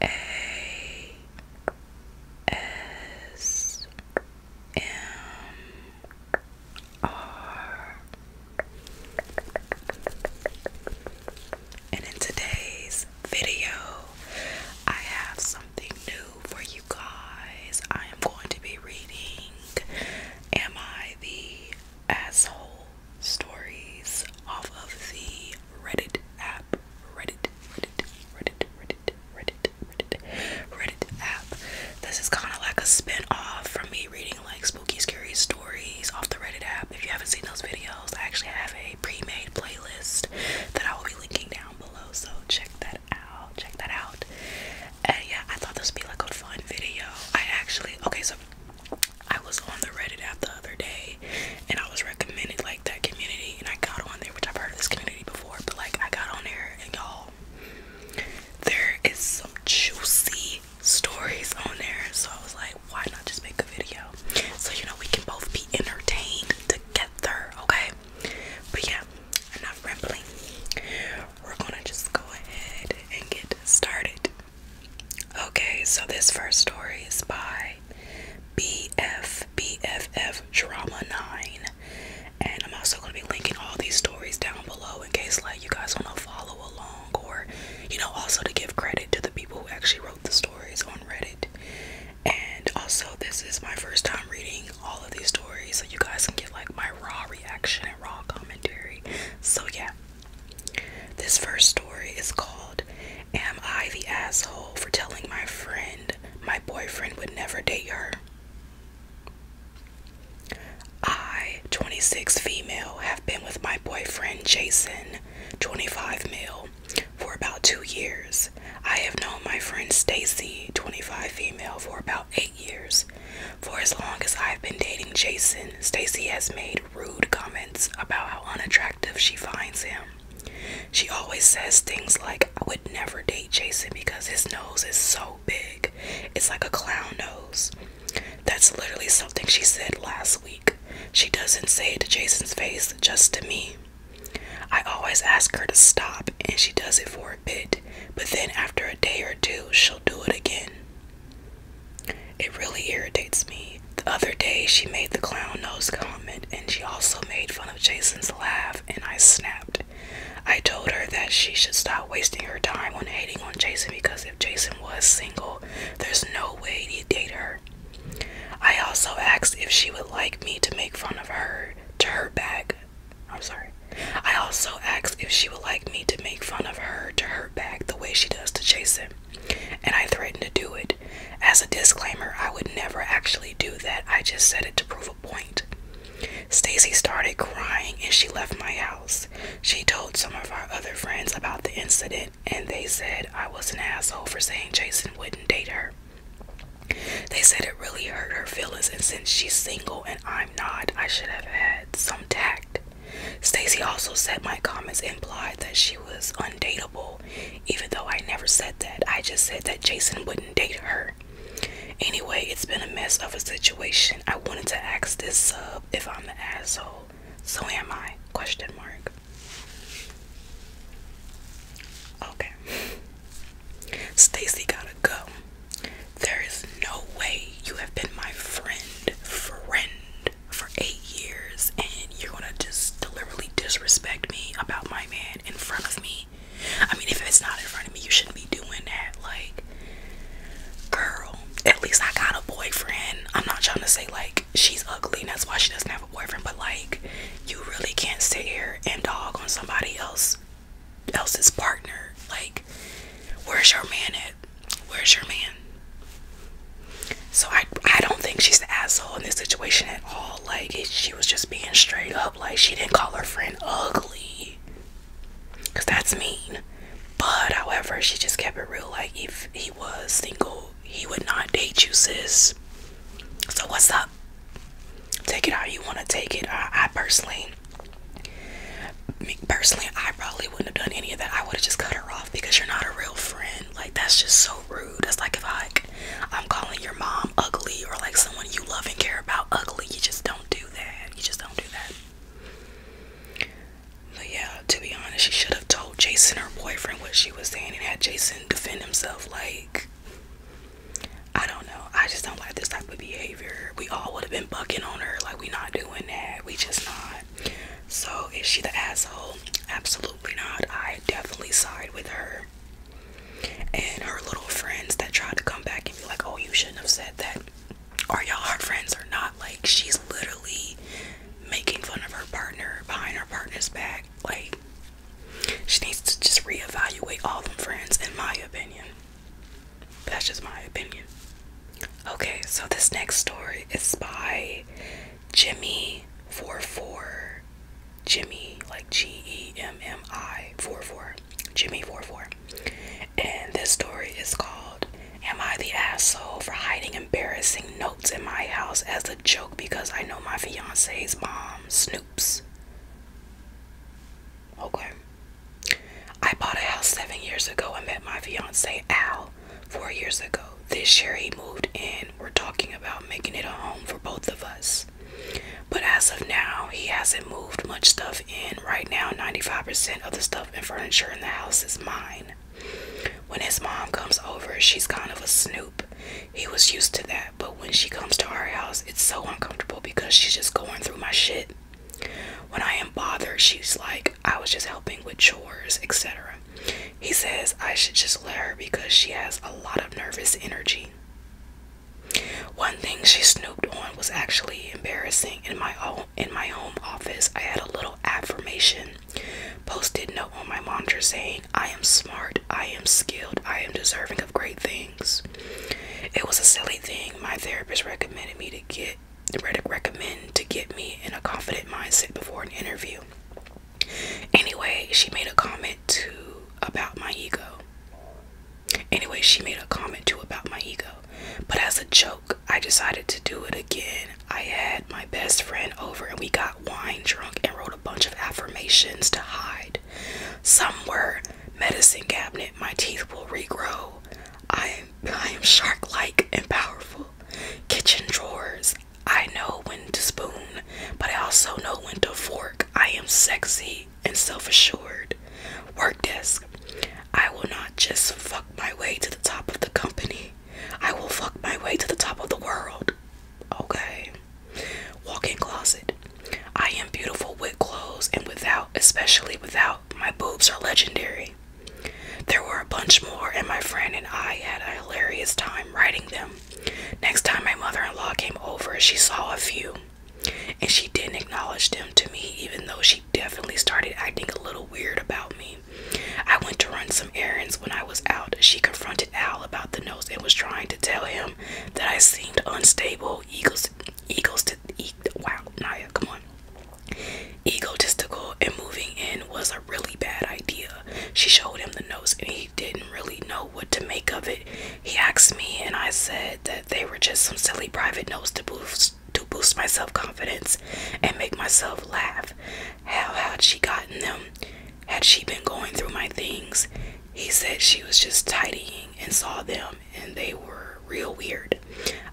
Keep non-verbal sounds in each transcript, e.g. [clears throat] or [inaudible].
A S M R. And in today's video, I have something new for you guys. I am going to be reading Am I the Asshole stories off of the Reddit app. Reddit, Reddit, Reddit, Reddit, Reddit, Reddit, app. This is kind of like a spin-off from me reading like spooky, scary stories off the Reddit app. If you haven't seen those videos, I actually have a pre-made playlist that I will be linking down below. So check that out. Check that out. And yeah, I thought this would be like a fun video. I actually okay, so I was on the Reddit app the other day and I was recommended like that community and I got on there, which I've heard of this community before, but like I got on there and y'all there is some juicy stories on there. So I was like, why not just make a video? So you know we can both be entertained together, okay? But yeah, enough rambling. We're gonna just go ahead and get started. Okay, so this first story is by BF Drama 9. And I'm also going to be linking all these stories down below in case like you guys want to follow along or you know also to give credit to the people who actually wrote the stories on Reddit. And also this is my first time reading all of these stories so you guys can get like my raw reaction and raw commentary. So yeah. This first story is called Am I the Asshole for Telling My Friend My Boyfriend Would Never Date Her? I, 26 female, have been with my boyfriend Jason, 25 male, for about two years. I have known my friend Stacy, 25 female, for about eight years. For as long as I've been dating Jason, Stacy has made rude comments about how unattractive she finds him. She always says things like, I would never date Jason because his nose is so big. It's like a clown nose. That's literally something she said last week. She doesn't say it to Jason's face, just to me. I always ask her to stop, and she does it for a bit, but then after a day or two, she'll do it again. It really irritates me. The other day, she made the clown nose comment and she also made fun of Jason's laugh, and I snapped. I told her that she should stop wasting her time on hating on Jason because if Jason was single, there's no way he'd date her. I also asked if she would like me to make fun of her to her back. I'm sorry. I also asked if she would like me to make fun of her to her back the way she does to Jason and I threatened to do it. As a disclaimer, I would never actually do that. I just said it to prove a point. Stacy started crying and she left my house. She told some of our other friends about the incident and they said I was an asshole for saying Jason wouldn't date her. They said it really hurt her feelings and since she's single and I'm not, I should have had some tact. Stacy also said my comments implied that she was undateable, even though I never said that. I just said that Jason wouldn't date her. Anyway, it's been a mess of a situation. I wanted to ask this sub if I'm the asshole. So am I? Question mark. Okay. Stacy gotta go. There is no way you have been my friend, friend for eight years and you're gonna just deliberately disrespect me about my man in front of me. I mean, if it's not in front of me, you shouldn't be doing that. Like, girl, at least I got a boyfriend. I'm not trying to say like she's ugly and that's why she doesn't have a boyfriend, but like, you really can't sit here and dog on somebody else else's partner. Like, where's your man at? Where's your man? So I I don't think she's the asshole in this situation at all. Like she was just being straight up. Like she didn't call her friend ugly, cause that's mean. But however, she just kept it real. Like if he was single, he would not date you, sis. So what's up? Take it how you want to take it. I, personally, me personally, I probably wouldn't have done any of that. I would have just cut her off because you're not a real friend. Like that's just so rude. It's like if I I'm calling your mom ugly or like someone you love and care about ugly. You just don't do that. You just don't do that. But yeah, to be honest, she should have told Jason her boyfriend what she was saying and had Jason defend himself like I don't know. I just don't like this type of behavior. We all would have been bucking on her. Like we not doing that. We just not. So, is she the asshole? Absolutely not. I definitely side with her and her little friends that tried to come back and be like, oh, you shouldn't have said that. Are y'all hard friends Are not? Like, she's literally making fun of her partner behind her partner's back. Like, she needs to just reevaluate all them friends, in my opinion. That's just my opinion. Okay, so this next story is by Jimmy four four Jimmy like G E M M I four four Jimmy four four. And this story is called Am I the asshole for hiding embarrassing notes in my house as a joke because I know my fiance's mom snoops? Okay. I bought a house seven years ago and met my fiance Al four years ago. This year he moved in. We're talking about making it a home for both of us. But as of now, he hasn't moved much stuff in. Right now, 95% of the stuff and furniture in the house is mine. When his mom comes over, she's kind of a snoop. He was used to that, but when she comes to our house, it's so uncomfortable because she's just going through my shit. When I am bothered, she's like, I was just helping with chores, etc. He says I should just let her because she has a lot of nervous energy. One thing she snooped on was actually embarrassing. In my own in my home office, I had a little affirmation posted note on my monitor saying, "I am smart, I am skilled, I am deserving of great things." It was a silly thing my therapist recommended me to get Reddick recommend to get me in a confident mindset before an interview. Anyway, she made a comment to about my ego. Anyway, she made a comment to about my ego. But as a joke, I decided to do it again. I had my best friend over and we got wine drunk and wrote a bunch of affirmations to hide. Some were medicine cabinet, my teeth will regrow. I am I am shark like and powerful. Kitchen drawers. I know when to spoon, but I also know when to fork. I am sexy and self assured. Work desk. I will not just fuck my way to the top of the company, I will fuck my way to the top of the world. Okay. Walk in closet. I am beautiful with clothes and without, especially without. My boobs are legendary. There were a bunch more, and my friend and I had a hilarious time writing them. Next time my mother in law came over, she saw a few, and she didn't acknowledge them to me, even though she definitely started acting a little weird about me. I went to run some errands when I was out. She confronted Al about the nose and was trying to tell him that I seemed unstable, eagles, eagles to eat. Wow, Naya, come on egotistical and moving in was a really bad idea. She showed him the notes and he didn't really know what to make of it. He asked me and I said that they were just some silly private notes to boost to boost my self-confidence and make myself laugh. How had she gotten them? Had she been going through my things? He said she was just tidying and saw them and they were real weird.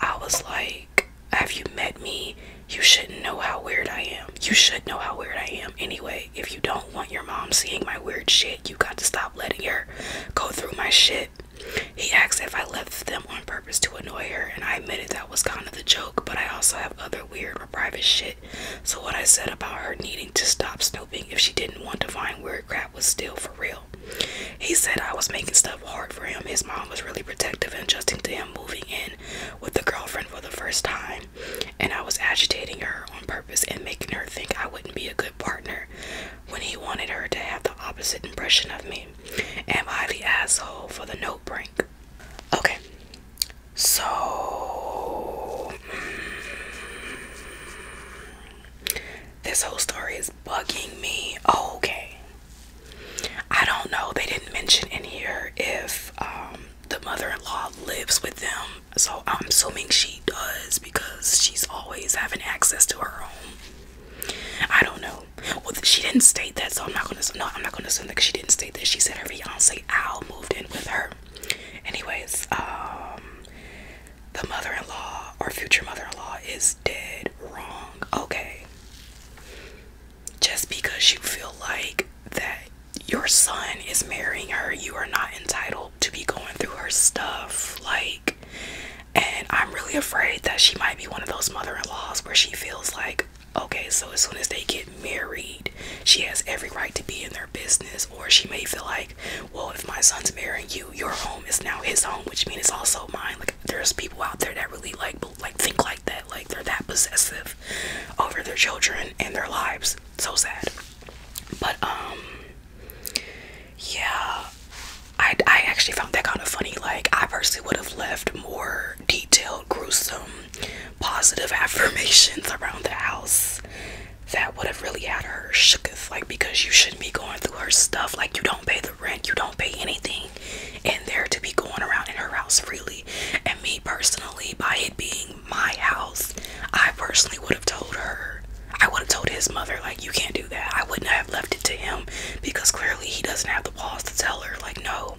I was like have you met me? You shouldn't know how weird I am. You should know how weird I am anyway. If you don't want your mom seeing my weird shit, you got to stop letting her go through my shit. He asked if I left them on purpose to annoy her, and I admitted that was kind of the joke, but I also have other weird or private shit. So, what I said about her needing to stop snooping if she didn't want to find weird crap was still for real. He said I was making stuff hard for him. His mom was really protective and adjusting to him moving in with the girlfriend for the first time, and I was agitating her on purpose and making her think I wouldn't be a good partner when he wanted her to have the opposite impression of me. Am I the asshole for the note break? Okay, so mm, this whole story is bugging me. okay, I don't know. They didn't mention in here if um, the mother-in-law lives with them, so I'm assuming she does because she's always having access to her home. I don't know. Well, she didn't state that, so I'm not gonna. No, I'm not gonna assume that she didn't state that. She said her fiance Al moved in with her. Anyways, um, the mother-in-law or future mother-in-law is dead wrong. Okay just because you feel like that your son is marrying her, you are not entitled to be going through her stuff. Like, and I'm really afraid that she might be one of those mother in laws where she feels like, okay, so as soon as they get married, she has every right to be in their business. Or she may feel like, well, if my son's marrying you, your home is now his home, which means it's also mine. Like, there's people out there that really like like think like that, like they're that possessive over their children and their lives. So sad. But um yeah, I I actually found that kind of funny. Like I personally would have left more detailed, gruesome, positive [laughs] affirmations around the house that would have really had her shooketh, like because you shouldn't be going through her stuff. Like you don't pay the rent, you don't pay anything in there to be going around in her house freely. And me personally, by it being my house, I personally would have told her, I would have told his mother, like, you can't do that. I wouldn't have left it to him because clearly he doesn't have the balls to tell her, like, no.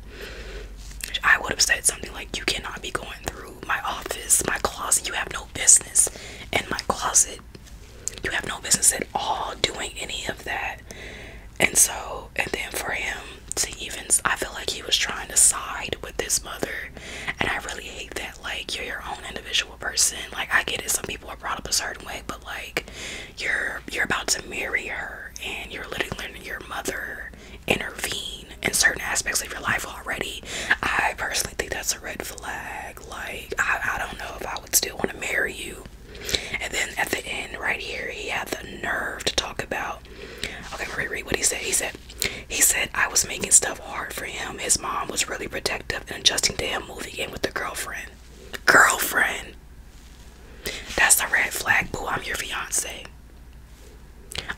I would have said something like, you cannot be going through my office, my closet. You have no business in my closet. You have no business at all doing any of that. And so, and then for him to even, I feel like he was trying to side with his mother. And I really hate that. Like, you're your own individual person. Like, I get it. Some people are brought up a certain way, but like, you're you're about to marry her, and you're literally letting your mother intervene in certain aspects of your life already. I personally think that's a red flag. Like, I, I don't know if I would still want to marry you and then at the end, right here, he had the nerve to talk about. Okay, read what he said. He said, he said, I was making stuff hard for him. His mom was really protective and adjusting to moving in with the girlfriend. Girlfriend. That's a red flag, Who I'm your fiance.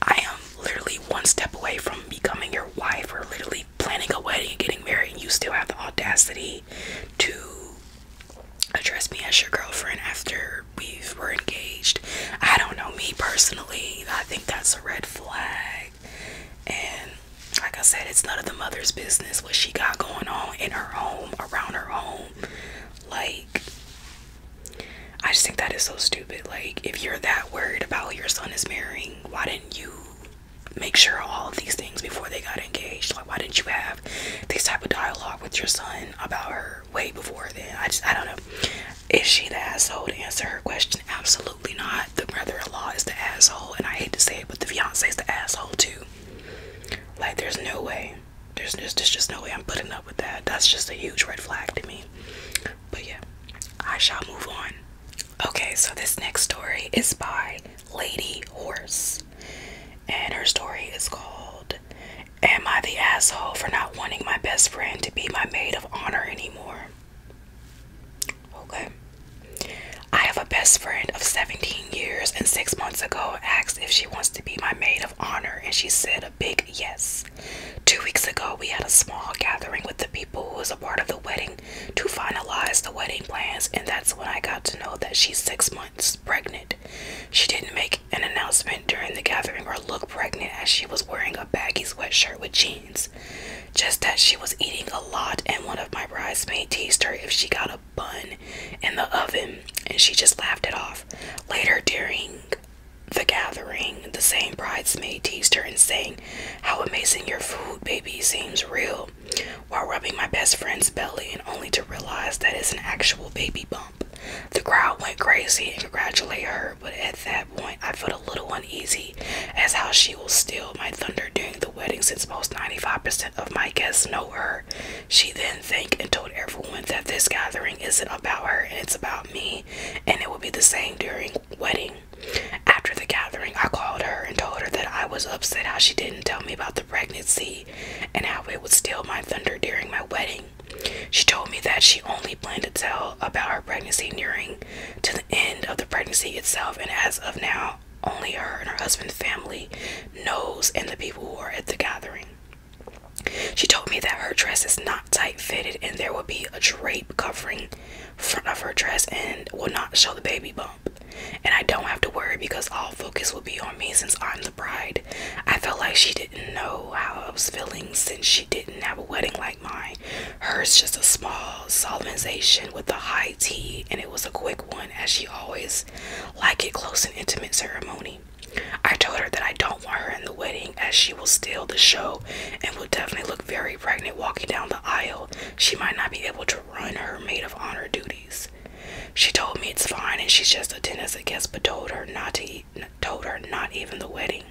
I am literally one step away from becoming your wife or literally planning a wedding and getting married, and you still have the audacity to address me as your girlfriend after we were engaged. I don't know me personally. I think that's a red flag. And like I said, it's none of the mother's business what she got going on in her home, around her home. Like, I just think that is so stupid. Like, if you're that worried about who your son is marrying, why didn't you make sure all of these things before they got engaged? Like, why didn't you have have this type of dialogue with your son about her way before then. I just I don't know. Is she the asshole to answer her question? Absolutely not. The brother-in-law is the asshole, and I hate to say it, but the fiance is the asshole too. Like there's no way. There's just there's just no way I'm putting up with that. That's just a huge red flag to me. But yeah, I shall move on. Okay, so this next story is by Lady Horse and her story is called Am I the Asshole for Not Wanting My Best Friend to Be My Maid of Honor Anymore? Okay. I have a best friend of 17 years, and six months ago asked if she wants to be my maid of honor, and she said a big yes. Two weeks ago, we had a small gathering with the people who was a part of the wedding to finalize the wedding plans, and that's when I got to know that she's six months pregnant. She didn't make an announcement during the gathering or look pregnant as she was wearing a baggy sweatshirt with jeans. Just that she was eating a lot, and one of my bridesmaids teased her if she got a bun in the oven, and she just laughed it off. Later during the gathering, the same bridesmaid teased her and saying, How amazing your food, baby, seems real while rubbing my best friend's belly and only to realize that it's an actual baby bump. The crowd went crazy and congratulated her, but at that point I felt a little uneasy as how she will steal my thunder during the wedding since most 95% of my guests know her. She then thanked and told everyone that this gathering isn't about her and it's about me and it will be the same during wedding. After the gathering, I called her and told her that I was upset how she didn't tell me about the pregnancy and how it would steal my thunder during my wedding. She told me that she only planned to tell about her pregnancy during to the end of the pregnancy itself, and as of now, only her and her husband's family knows and the people who are at the gathering. She told me that her dress is not tight fitted and there will be a drape covering front of her dress and will not show the baby, bump. And I don't have to worry because all focus will be on me since I'm the bride. I felt like she didn't know how I was feeling since she didn't have a wedding like mine. Hers just a small solemnization with a high tea, and it was a quick one as she always liked it close and intimate ceremony. I told her that I don't want her in the wedding as she will steal the show and will definitely look very pregnant walking down the aisle. She might not be able to run her maid of honor duties. She told me it's fine and she's just a dentist, I guess, but told her not to eat, told her not even the wedding.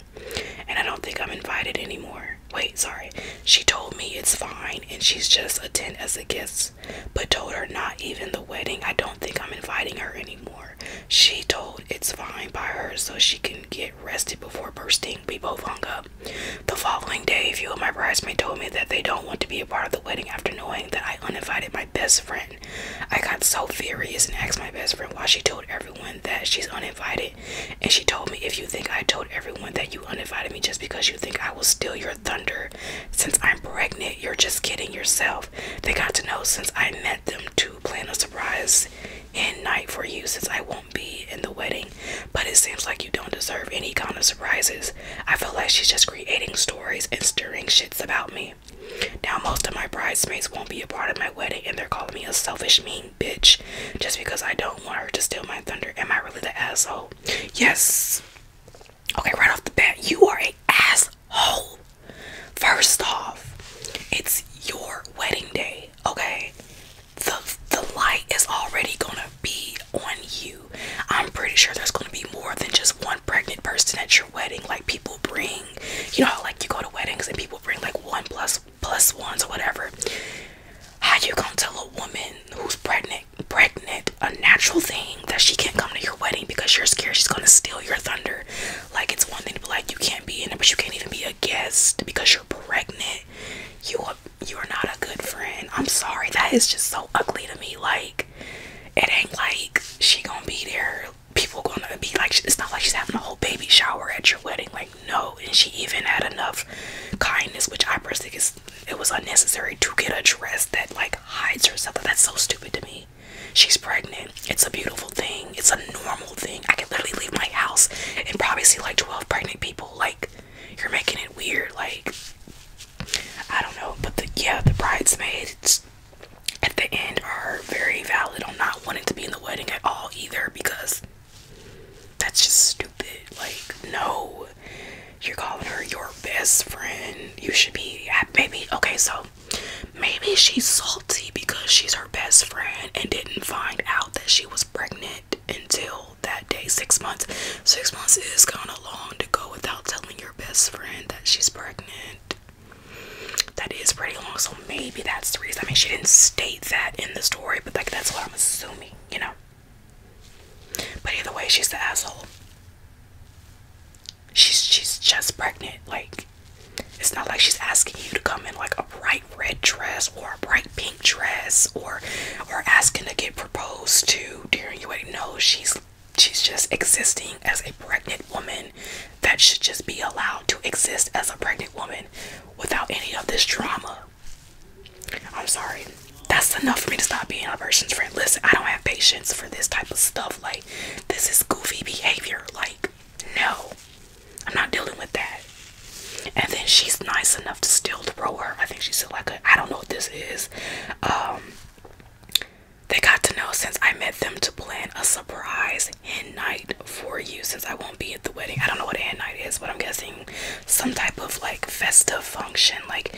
And I don't think I'm invited anymore. Wait, sorry. She told me it's fine and she's just a tent as a guest, but told her not even the wedding. I don't think I'm inviting her anymore. She told it's fine by her so she can get rested before bursting. We both hung up. The following day, a few of my bridesmaids told me that they don't want to be a part of the wedding after knowing that I uninvited my best friend. I got so furious and asked my best friend why she told everyone that she's uninvited. And she told me, If you think I told everyone that you uninvited me just because you think I will steal your thunder since I'm pregnant, you're just kidding yourself. They got to know since I met them to plan a surprise and night for you since I won't be in the wedding. But it seems like you don't deserve any kind of surprises. I feel like she's just creating stories and stirring shits about me. Now, most of my bridesmaids won't be a part of my wedding and they're calling me a selfish, mean bitch just because I don't want her to steal my thunder. Am I really the asshole? Yes. Okay, right off the bat, you are a asshole. First off, it's your wedding day, okay? The, the light is already gonna be on you. I'm pretty sure there's gonna be more than just one pregnant person at your wedding. Like people bring, you know, how, like you go to weddings and people bring like one plus plus ones or whatever. How you gonna tell a woman who's pregnant, pregnant, a natural thing that she can't come to your wedding because you're scared she's gonna steal your thunder? Like it's one thing to be like you can't be in it, but you can't even be a guest because you're pregnant. You are, you are not a good friend. I'm sorry. That is just so ugly to me. Like it ain't like she gonna be there people gonna be like it's not like she's having a whole baby shower at your wedding like no and she even had enough kindness which i personally it was unnecessary to get a dress that like hides herself that's so stupid to me she's pregnant it's a beautiful thing it's a normal thing i could literally leave my house and probably see like 12 pregnant people like you're making it weird like I don't know, but the yeah, the bridesmaids at the end are very valid on not wanting to be in the wedding at all either because that's just stupid. Like, no, you're calling her your best friend. You should be maybe okay, so maybe she's salty because she's her best friend and didn't find out that she was pregnant until that day. Six months. Six months is kind of long to go without telling your best friend that she's pregnant. That is pretty long, so maybe that's the reason. I mean, she didn't state that in the story, but like that's what I'm assuming, you know. But either way, she's the asshole. She's she's just pregnant. Like it's not like she's asking you to come in like a bright red dress or a bright pink dress or or asking to get proposed to you during your No, she's she's just existing as a pregnant woman that should just be allowed to exist as a pregnant woman without any of this drama. I'm sorry. That's enough for me to stop being a person's friend. Listen, I don't have patience for this type of stuff. Like, this is goofy behavior. Like, no, I'm not dealing with that. And then she's nice enough to still throw her. I think she's still like I I don't know what this is. Um, they got to know since I met them to plan a surprise hen night for you since I won't be at the wedding. I don't know what a night is, but I'm guessing some type of like festive function. Like,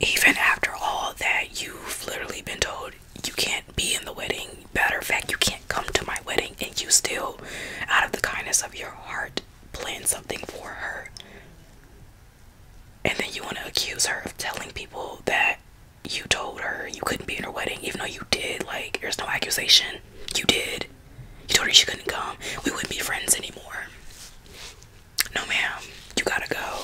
even after all that, you've literally been told you can't be in the wedding. Matter of fact, you can't come to my wedding, and you still, out of the kindness of your heart, plan something for her and then you want to accuse her of telling people that you told her you couldn't be in her wedding, even though you did. Like, there's no accusation. You did. You told her she couldn't come. We wouldn't be friends anymore. No, ma'am. You gotta go.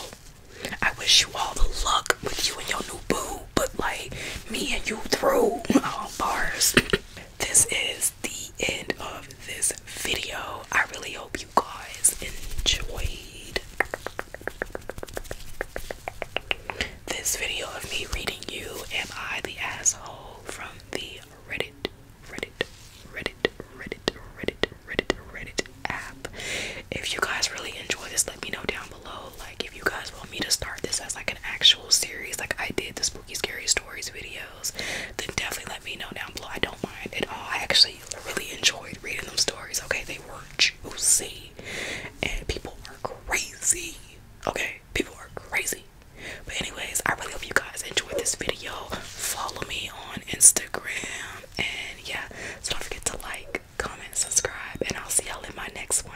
I wish you all the luck with you and your new boo, but like, me and you through. Oh, bars. [clears throat] this is the end of this video. I really hope you guys enjoyed this video of me reading you Am I the Asshole from the Reddit, Reddit, Reddit, Reddit, Reddit, Reddit, Reddit app. If you guys really enjoy this, let me know down below. Like if you guys want me to start this as like an actual series, like I did the spooky scary stories video then definitely let me know down below. I don't mind at all. I actually really enjoyed reading them stories. Okay, they were juicy, and people are crazy. Okay, people are crazy. But anyways, I really hope you guys enjoyed this video. Follow me on Instagram, and yeah, so don't forget to like, comment, subscribe, and I'll see y'all in my next one.